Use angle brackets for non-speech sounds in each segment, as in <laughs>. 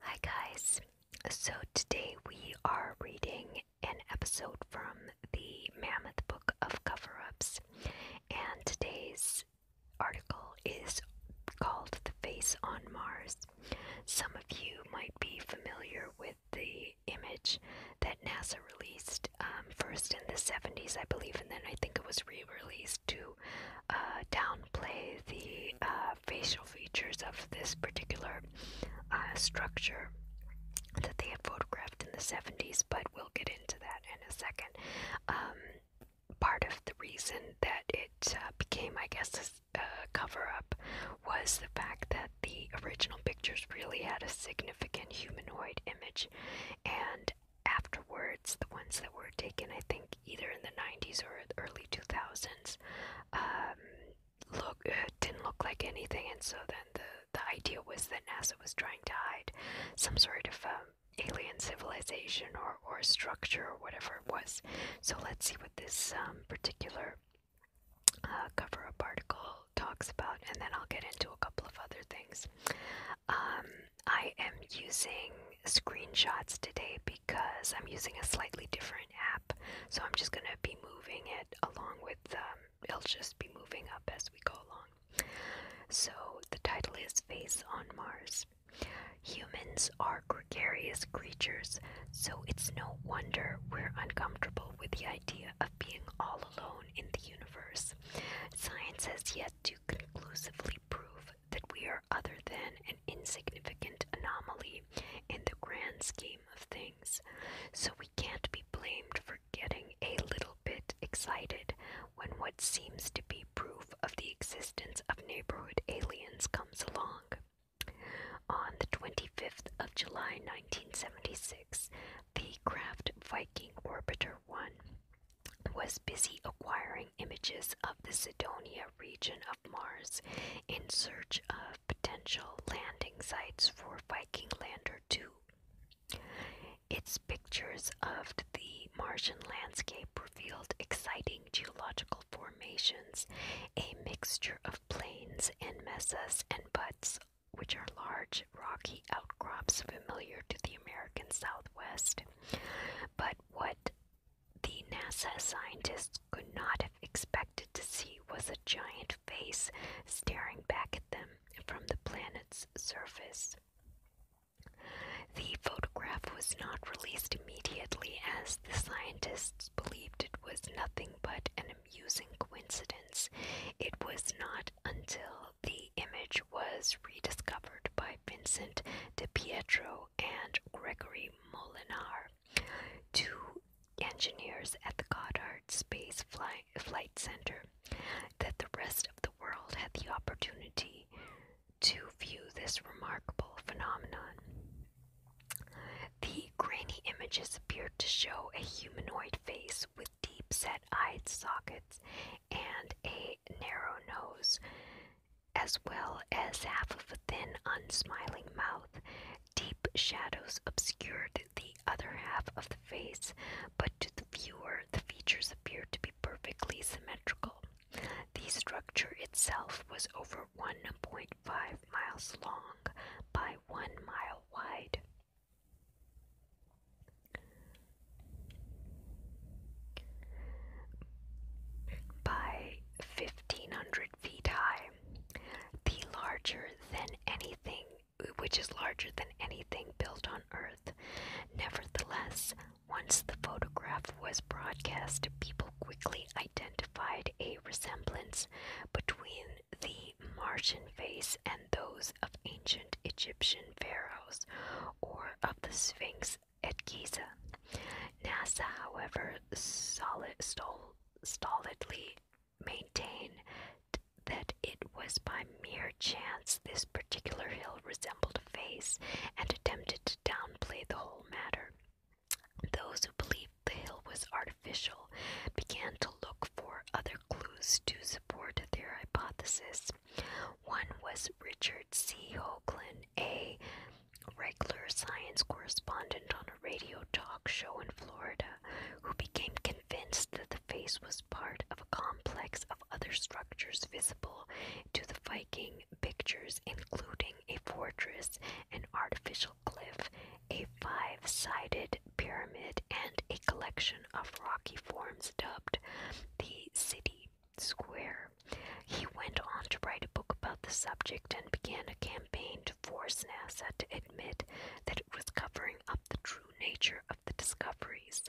Hi, guys. So, today we are reading an episode from the Mammoth Book of Cover Ups, and today's article is called The Face on Mars. Some of you might be familiar with the image that NASA released um, first in the 70s, I believe, and then I think it was re released to uh, play the uh, facial features of this particular uh, structure that they had photographed in the 70s, but we'll get into that in a second. Um, part of the reason that it uh, became, I guess, a cover up was the fact that the original pictures really had a significant humanoid image, and afterwards, the ones that were taken, I think, either in the 90s or early 2000s um, look uh, didn't look like anything and so then the the idea was that NASA was trying to hide some sort of um, alien civilization or, or structure or whatever it was so let's see what this um, particular uh, cover up article talks about and then I'll get into a couple of other things I am using screenshots today because I'm using a slightly different app. So I'm just going to be moving it along with, it'll just be moving up as we go along. So the title is Face on Mars. Humans are gregarious creatures, so it's no wonder we're uncomfortable with the idea of being all alone in the universe. Science has yet to conclusively prove that we are other than an insignificant anomaly in the grand scheme of things, so we can't be blamed for getting a little bit excited when what seems to be proof of the existence of neighborhood aliens comes along. On the 25th of July 1976, the craft Viking Orbiter 1 was busy acquiring images of the Sidonia region of Mars in search of potential landing sites for Viking Lander 2. Its pictures of the Martian landscape revealed exciting geological formations, a mixture of plains and mesas and buttes, which are large rocky outcrops familiar to the American Southwest. But what the NASA scientists could not have expected to see was a giant face staring back at them from the planet's surface. The photograph was not released immediately as the scientists believed it was nothing but an amusing coincidence. It was not until the image was rediscovered by Vincent de Pietro and Gregory Molinar, two engineers at the Goddard Space Flight, Center, that the rest of the world had the opportunity to view this remarkable phenomenon. The grainy images appeared to show a humanoid face with deep set eye sockets and a narrow nose as well as half of a thin, unsmiling mouth. Deep shadows obscured the other half of the face, but to the viewer, the features appeared to be perfectly symmetrical. The structure itself was over 1.5 miles long by 1 mile wide. By 1500 feet high, the larger than anything, which is larger than anything built on Earth. Nevertheless, once the photograph was broadcast, people quickly identified a resemblance between the Martian face and those of ancient Egyptian pharaohs or of the Sphinx was at Giza. NASA, however, stolidly maintained that it was by mere chance this particular hill resembled a face and attempted to downplay the whole matter. Those who believed the hill was artificial began to look for other clues to support their hypothesis. One was Richard C. Hoagland, a regular science correspondent on a radio talk show in Florida who became convinced that the face was part of a complex of other structures visible to the Viking pictures, including a fortress, an artificial cliff, a five sided pyramid, and a collection of rocky forms dubbed the city square. He went on to write a book about the subject and began a campaign to force NASA to admit that it was covering up the true nature of the discoveries.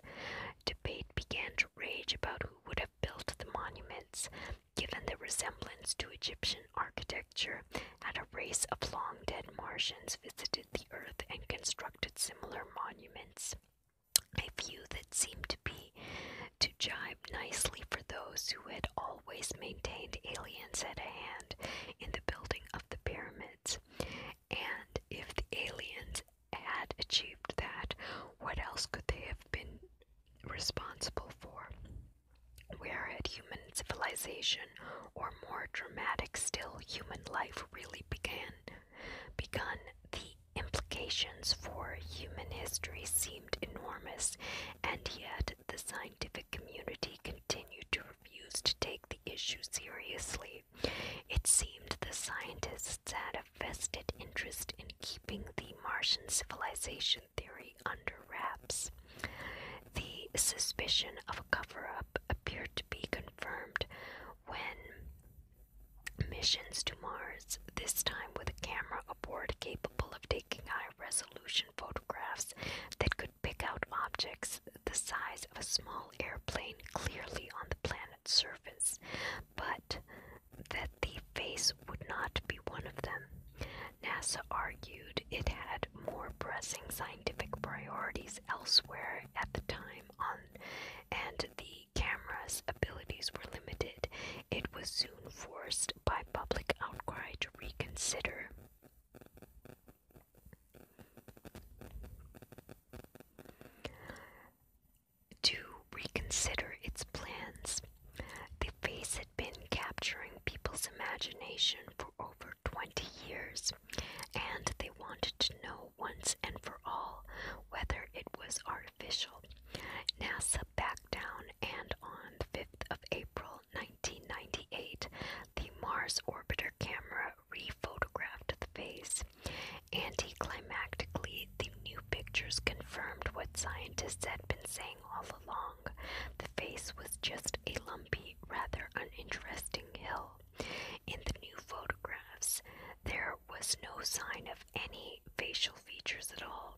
Debate began to rage about who would have built the monuments, given their resemblance to Egyptian architecture, had a race of long dead Martians visited the Earth and constructed similar monuments. A few that seemed to be to jive nicely for those who had always maintained aliens at a hand in the building of the pyramids. And if the aliens had achieved that, what else could they have been responsible for? Where had human civilization, or more dramatic still, human life really began? Begun the implications for human history seem enormous, and yet the scientific community continued to refuse to take the issue seriously. It seemed the scientists had a vested interest in keeping the Martian civilization theory under wraps. The suspicion of a cover up appeared to be confirmed when missions to Mars, this time with a camera aboard capable of taking high res resolution photographs that could pick out objects the size of a small airplane clearly on the planet's surface, but that the face would not be one of them. NASA argued it had more pressing scientific priorities elsewhere at the time and the camera's abilities were limited. It was soon forced by public outcry to reconsider. To reconsider its plans. The face had been capturing people's imagination for over 20 years, and they wanted to know once and for all whether it was artificial. NASA back down, and on the 5th of April 1998, the Mars orbiter camera rephotographed the face. Anticlimactically, the new pictures confirmed what scientists had been saying all along. The face was just a lumpy, rather uninteresting hill. In the new photographs, there was no sign of any facial features at all.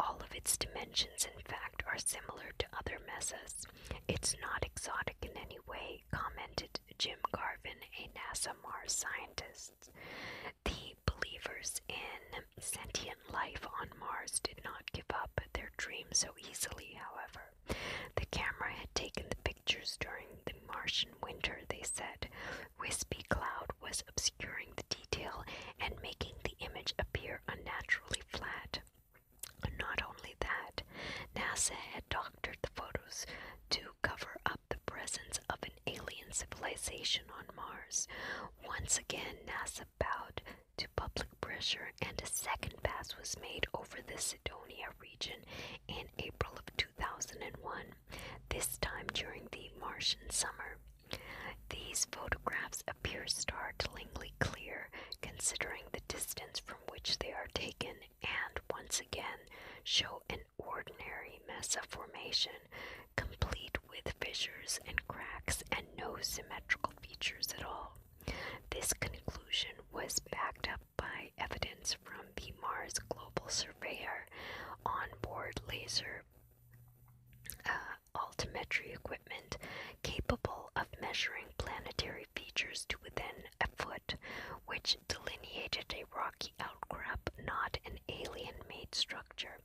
All of its dimensions, in fact, are similar to other mesas. It's not exotic in any way, commented Jim Garvin, a NASA Mars scientist. The believers in sentient life on Mars did not give up their dream so easily, however. The camera had taken the pictures during the Martian winter, they said. Wispy cloud was obscuring the detail and making the image appear unnaturally flat. Not only that, NASA had doctored the photos to cover up the presence of an alien civilization on Mars. Once again, NASA bowed to public pressure, and a second pass was made over the Sidonia region in April of 2001, this time during the Martian summer. These photographs appear startlingly clear considering the distance from which they are taken and once again show an ordinary mesa formation complete with fissures and cracks and no symmetrical features at all. This conclusion was backed up by evidence from the Mars Global Surveyor onboard laser uh, altimetry equipment capable of measuring planetary features to within a foot, which delineated a rocky outcrop, not an alien made structure.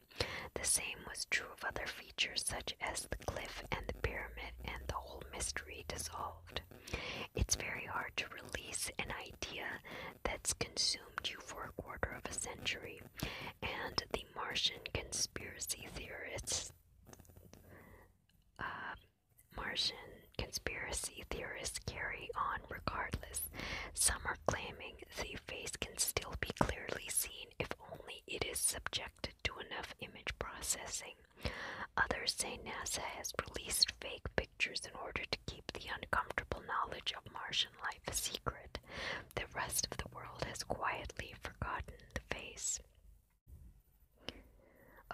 The same was true of other features such as the cliff and the pyramid, and the whole mystery dissolved. It's very hard to release an idea that's consumed you for a quarter of a century, and the Martian conspiracy theorists. Uh, Martian conspiracy theorists carry on regardless. Some are claiming the face can still be clearly seen if only it is subjected to enough image processing. Others say NASA has released fake pictures in order to keep the uncomfortable knowledge of Martian life a secret the rest of the world has quietly forgotten the face.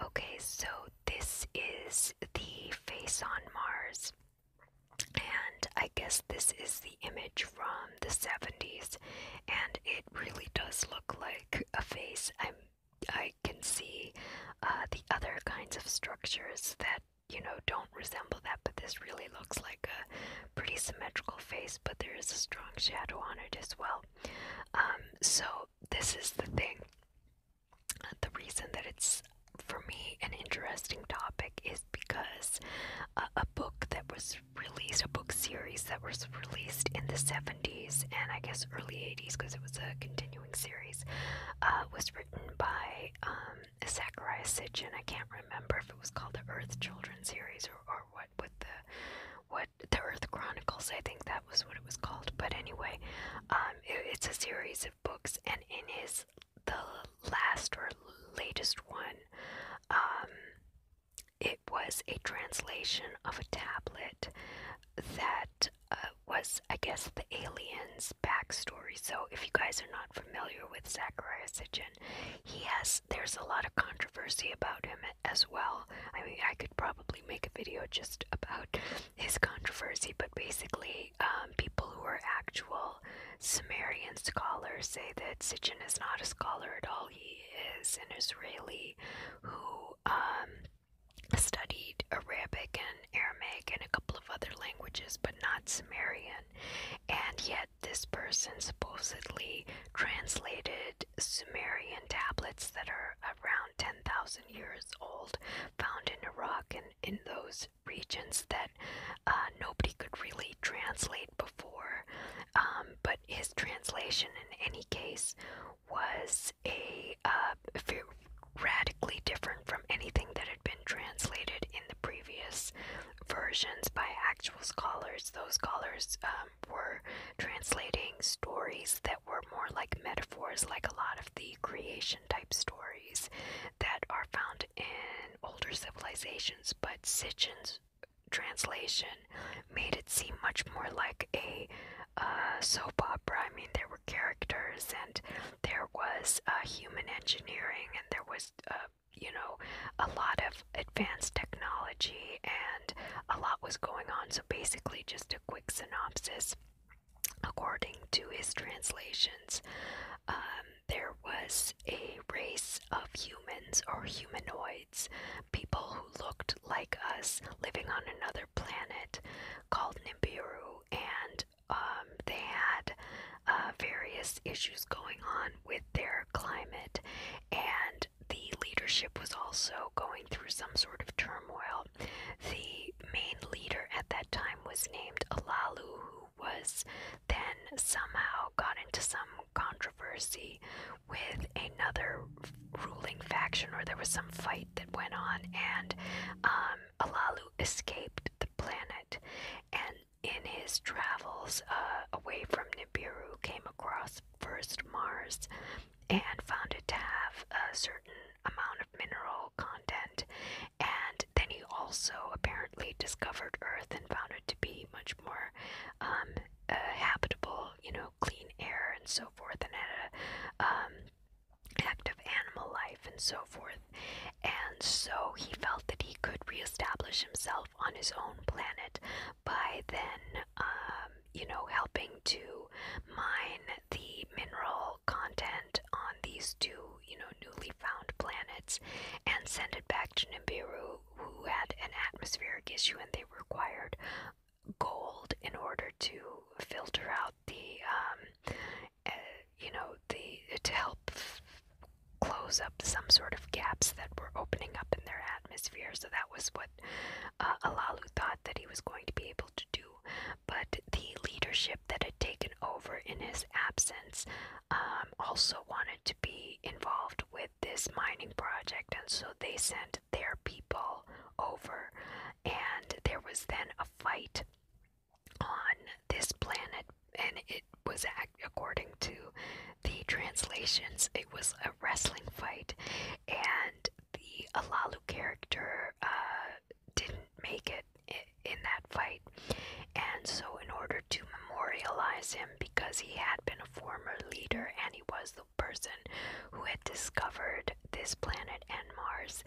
Okay, so this is the face on Mars. And I guess this is the image from the 70s, and it really does look like a face. I'm, I can see uh, the other kinds of structures that you know don't resemble that, but this really looks like a pretty symmetrical face, but there is a strong shadow on it as well. Um, so, this is the thing. The reason that it's for me an interesting topic is because a book that was released, a book series that was released in the 70s and I guess early 80s because it was a continuing series, uh, was written by um, Zachariah Sitchin. I can't remember if it was called the Earth Children series or, what what the what the Earth Chronicles I think that was what it was called. But anyway, um, it's a series of books, and in his the last or latest one, um, it was a translation of a tablet that uh, was, I guess, the aliens' backstory. So, if you guys are not familiar with Zachariah Sitchin, he has there's a lot of controversy about him as well. I mean, I could probably make a video just about his controversy, but basically, um, people who are actual Sumerian scholars say that Sitchin is not a scholar at all. He is an Israeli who um, studied Arabic and Aramaic and a couple of other languages, but not Sumerian. And yet, this person supposedly translated Sumerian tablets that are around 10,000 years old, found in Iraq and in those regions that uh, nobody could really translate before. Um, but his translation, in any case, was a uh, radically different from anything that had been translated in the previous versions by actual scholars. Those scholars um, were translating stories that were more like metaphors, like a lot of the creation type stories that are found in older civilizations, but Sitchin's translation made it seem much more like a uh, soap opera. I mean, there were characters, and there was uh, human engineering, and there was uh, you know, a lot of advanced technology and a lot was going on. So, basically, just a quick synopsis according to his translations, um, there was a race of humans or humanoids, people who looked like us living on another planet called Nibiru, and um, they had uh, various issues going on with their climate, and the leadership was also going through some sort of turmoil. The main leader at that time was named Alalu, who was then somehow got into some controversy with another ruling faction, or there was some fight that went on, and um, Alalu escaped the planet. And in his travels uh, away from Nibiru, came across first Mars and found it to have a certain amount of mineral content. And then he also apparently discovered Earth and found it to be much more um, uh, habitable, you know, clean air and so forth, and had a um, active animal life and so forth. And so he felt that he could reestablish himself on his own planet by then, um, you know, helping to mine the mineral content on these two, you know, newly found planets and send it back to Nibiru, who had an atmospheric issue and they required gold in order to filter out the, um, eh, you know, the to help close up some sort of gaps that were opening up in their atmosphere. So that was what uh, Alalu thought that he was going to be able to do. But the leadership that had taken over in his absence um, also wanted to be involved with this mining project, and so they sent their people over. And there was then a fight on this planet, and it it was according to the translations, it was a wrestling fight, and the Alalu character uh, didn't make it in that fight. And so, in order to memorialize him, because he had been a former leader and he was the person who had discovered this planet and Mars,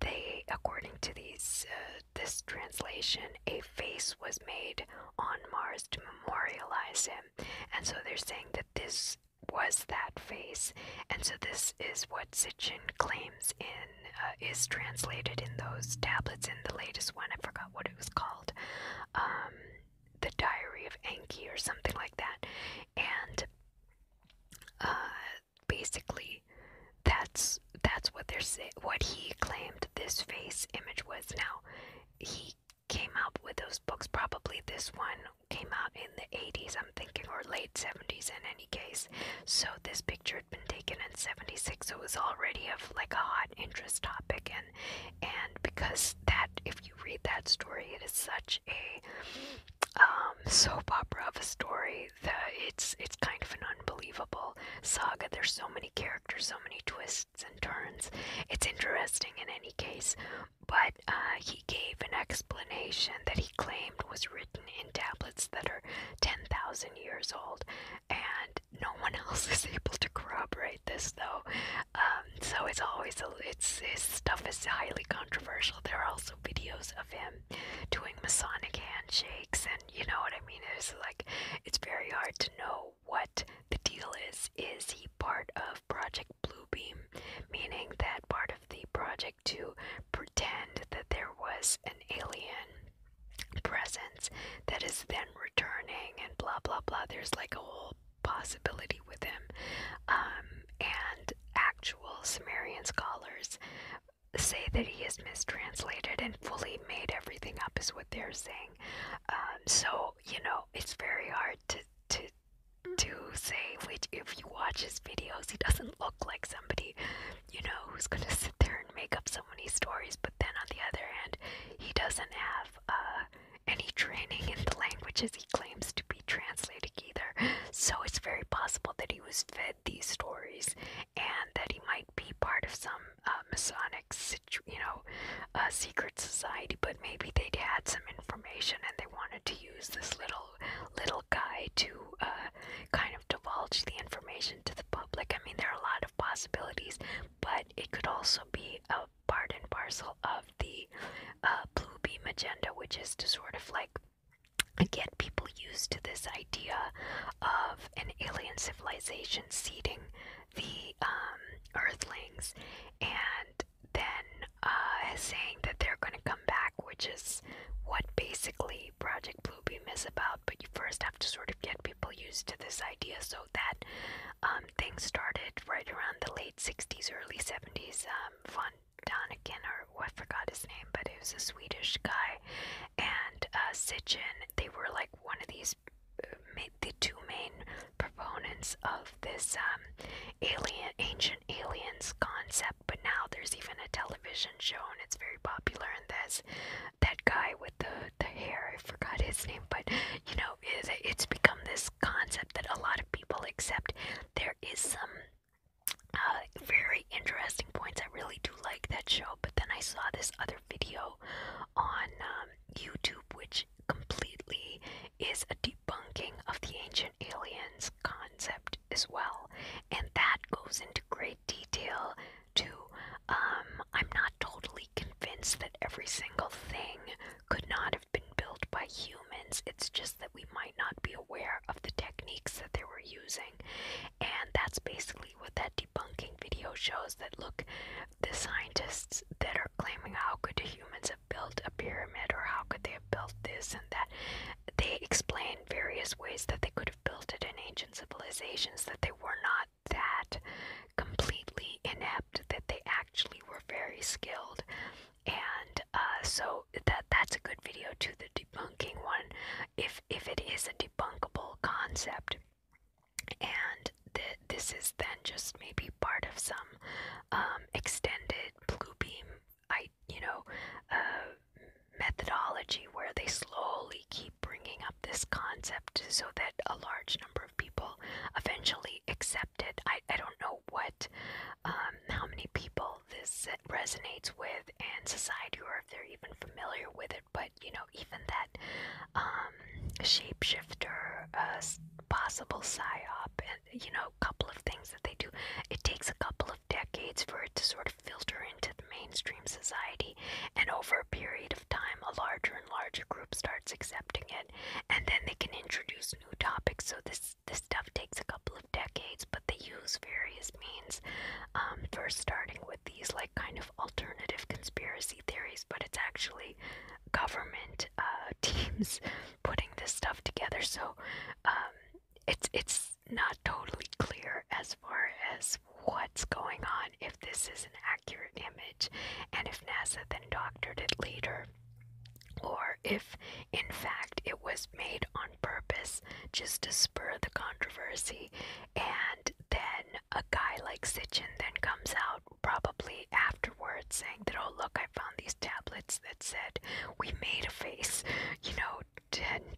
they, according to these uh, this translation, a face was made on Mars to memorialize him. And so they're saying that this was that face. And so this is what Sitchin claims in uh, is translated in those tablets in the latest one. I forgot what it was called. Um, the Diary of Enki or something like that. And uh, basically, that's that's what they're saying. What he claimed this face image was. Now, he came out with those books. Probably this one came out in the 80s, I'm thinking, or late 70s in any case. So this picture had been taken in 76, so it was already of like a hot interest topic. And, and because that, if you read that story, it is such a um, soap opera of a story that it's, it's kind of an unbelievable saga. There's so many characters, so many twists twists and turns. It's interesting in any case, but uh, he gave an explanation that he claimed was written in tablets that are 10,000 years old, and no one <laughs> else is able to corroborate this, though. Um, so it's always, a, it's, his stuff is highly controversial. There are also videos of him doing Masonic handshakes, and you know what I mean? It's like, it's very hard to know what the deal is. Is he part of Project Bluebeam? Meaning that part of the project to pretend that there was an alien presence that is then returning and blah blah blah. There's like a whole possibility with him. Um, and actual Sumerian scholars say that he is mistranslated and fully made everything up, is what they're saying. Um, so so you know it's very hard to to to say which if you watch his videos he doesn't look like somebody you know who's gonna sit there and make up so many stories but then on the other hand he doesn't have uh any training in the languages he claims to be translating either so it's very possible that he was fed these stories and that he might be part of some uh, masonic you know, a secret society, but maybe they'd had some information and they wanted to use this little little guy to uh, kind of divulge the information to the public. I mean, there are a lot of possibilities, but it could also be a part and parcel of the uh, blue beam agenda, which is to sort of like get people used to this idea of an alien civilization seeding the um, Earthlings, and then uh, saying that they're going to come back, which is what basically Project Bluebeam is about. But you first have to sort of get people used to this idea, so that um, things started right around the late '60s, early '70s. Um, von Daniken, or oh, I forgot his name, but it was a Swedish guy, and uh, Sitchin. They were like one of these the two main proponents of this um, alien, ancient aliens concept, but now there's even a television show and it's very popular. And there's that guy with the, the hair, I forgot his name, but you know, it, it's become this concept that a lot of people accept. There is some uh, very interesting points. I really do like that show, but then I saw this other video on um, YouTube, which completely is a debunking of the ancient aliens concept as well. And that goes into great detail too. Um, I'm not totally convinced that every single thing could not have been built by humans. It's just that we might not be aware of the techniques that they were using. And that's basically what that debunking video shows that look, the scientists that are claiming how could humans have built a pyramid or how could they have built this and that, they explain various ways that they could have built it in ancient civilizations, that they were not that completely inept, that they actually were very skilled. And uh, so that that's a good video to the debunking one, if if it is a debunkable concept and th this is then just maybe part of some um, extended blue beam, I you know, uh, methodology where they slowly keep bringing up this concept so that a large number of people eventually accept it. I I don't know what, um, how many people this resonates with in society, or if they're even familiar with it. But you know, even that um, shapeshifter, uh, possible psyop, and you know, a couple of things that they do. It takes a couple of decades for it to sort of filter into the mainstream society, and over a period of time, a larger and larger group starts accepting it, and then they can introduce new topics. So this this stuff takes a couple of decades, but they use various means. Um, first, starting with these like kind of alternative conspiracy theories, but it's actually government uh, <laughs> teams putting this stuff together. So um, it's it's not totally clear as far as what's going on if this is an accurate image, and if NASA then doctored it later, or if in fact it was made on purpose just to spur the controversy, and then a guy like Sitchin then comes out probably afterwards saying that, oh, look, I found these tablets that said we made a face, you know, 10,000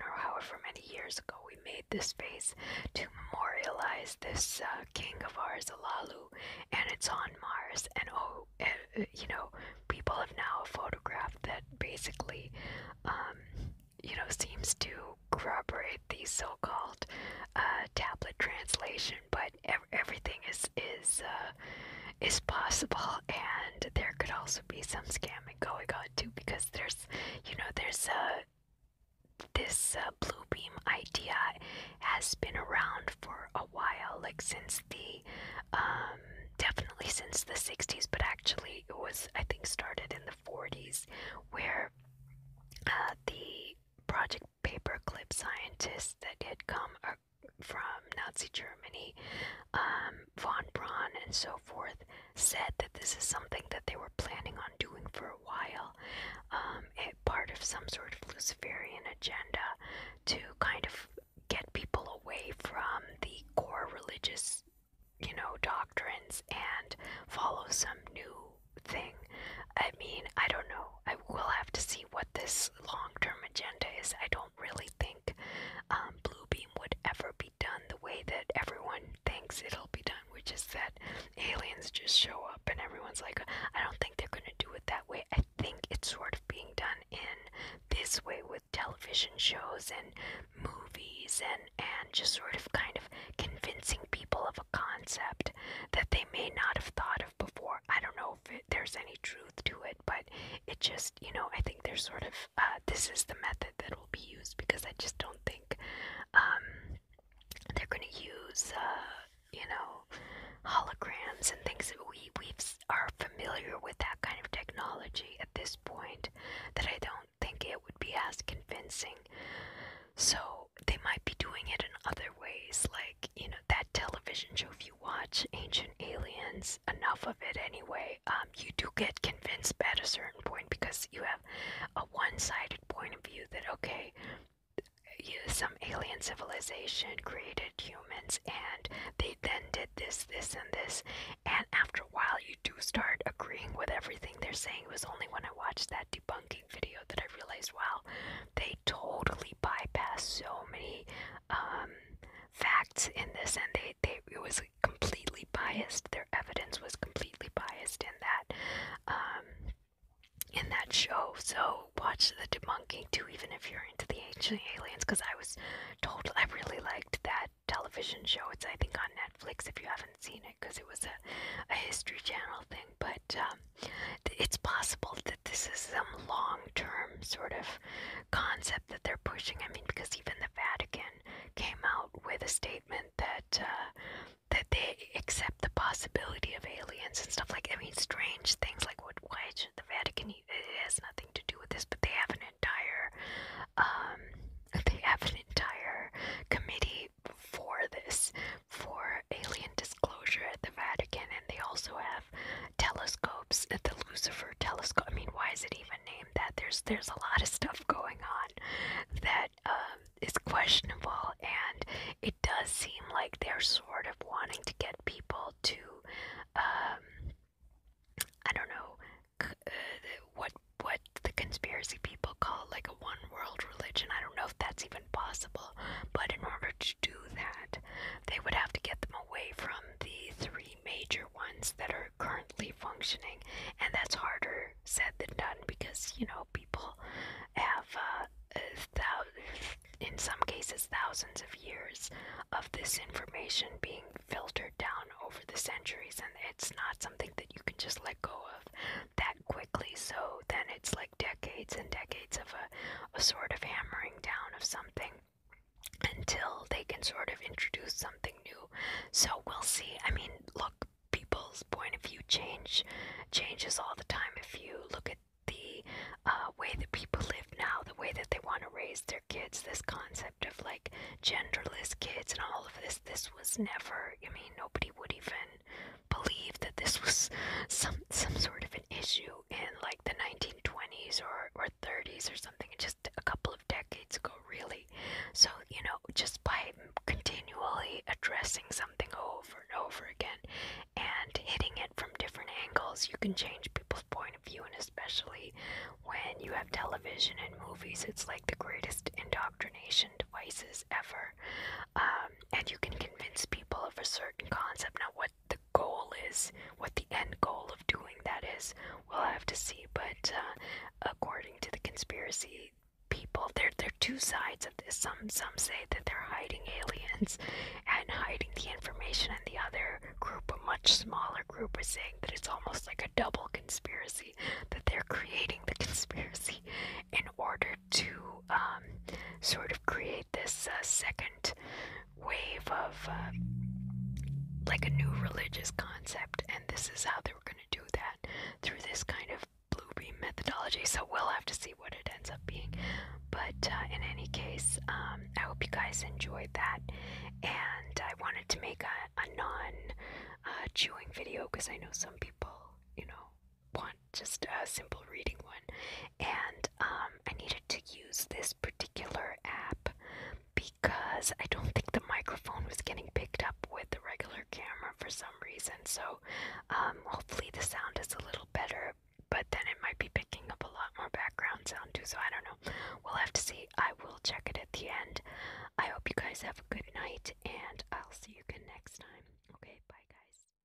or however many years ago we made this face to memorialize this uh, king of ours, Alalu, and it's on Mars. And oh, uh, you know, people have now a photograph that basically, um, you know, seems to corroborate these so called uh, tablet translations but everything is is uh, is possible, and there could also be some scamming going on too, because there's you know there's a uh, this uh, blue beam idea has been around for a while, like since the um, definitely since the 60s, but actually it was I think started in the 40s, where uh, the project paperclip scientists that had come from Nazi Germany, um, von Braun, and so forth, said that this is something that they were planning on doing for a while, um, part of some sort of Luciferian agenda to kind of get people away from the core religious, you know, doctrines and follow some new thing. I mean, I don't know. I will have to see what this long term agenda is. I don't really think um, Beam would ever be done the way that everyone thinks it'll be done, which is that aliens just show up and everyone's like, I don't think they're going to do it that way. I think it's sort of being done in this way with television shows and movies and, and just sort of kind of convincing people of of a concept that they may not have thought of before. I don't know if it, there's any truth to it, but it just, you know, I think there's sort of uh, this is the method that will be used because I just don't think um, they're going to use, uh, you know, holograms and things that we we are familiar with that kind of technology at this point. That I don't think it would be as convincing. So they might be doing it in other ways, like you know, that television show, if you watch Ancient Aliens, enough of it anyway, um, you do get convinced at a certain point because you have a one sided point of view that, okay, some alien civilization created humans and they then did this, this, and this. And after a while, you do start agreeing with everything they're saying. It was only when I watched that debunking video that I realized, wow, they totally bypassed so many um, facts in this, and they, they it was completely biased. Their evidence was completely biased in that. Um, in that show, so watch the debunking too, even if you're into the ancient aliens, because I was told I really liked that television show. It's I think on Netflix if you haven't seen it, because it was a, a History Channel thing. But um, it's possible the that this is some long term sort of concept that they're pushing. I mean, because even the Vatican came out with a statement that uh, that they accept the possibility of aliens and stuff like. I mean, strange things like what? Why should the Vatican? It has nothing to do with this, but they have an entire um, <laughs> they have an entire committee for this for alien disclosure at the Vatican, and they also have telescopes at the Lucifer telescope. I mean, why is it even named that? There's there's a lot of stuff going on that um, is questionable, and it does seem like they're sort of wanting to get people to, um, I don't know, uh, what what the conspiracy people call like a one world religion. I don't know if that's even possible, but in order to do that, they would have to get them away from the three major ones that are currently functioning, and that's harder said than done because you know people have uh, thou- in some cases thousands of years of this information being filtered down over the centuries, and it's not something that you can just let go of that quickly. So then it's like like decades and decades of a, a sort of hammering down of something until they can sort of introduce something new. So we'll see. I mean, look, people's point of view change changes all the time. If you look at the uh, way that people live now, the way that they want to raise their kids, this concept of like genderless kids and all of this, this was never, I mean, nobody would even believe that this was some some sort of an issue in like the 1920s or, or 30s or something just a couple of decades ago really so you know just by continually addressing something over and over again and hitting it from different angles you can change people's point of view and especially when you have television and movies it's like the greatest indoctrination devices ever uh, um, and you can convince people of a certain concept. Now, what the goal is, what the end goal of doing that is, we'll have to see. But uh, according to the conspiracy people, there there are two sides of this. Some some say that they're hiding aliens and hiding the information, and the other group, a much smaller group, is saying that it's almost like a double conspiracy that they're creating the conspiracy in order to um, sort of create this uh, second wave of uh, like a new religious concept, and this is how they were going to do that through this kind of Bluebeam methodology. So we'll have to see what it ends up being. But uh, in any case, um, I hope you guys enjoyed that, and I wanted to make a, non chewing video because I know some people, you know, one, just a simple reading one. And um, I needed to use this particular app because I don't think the microphone was getting picked up with the regular camera for some reason. So um, hopefully the sound is a little better, but then it might be picking up a lot more background sound too. So I don't know. We'll have to see. I will check it at the end. I hope you guys have a good night, and I'll see you again next time. Okay, bye guys.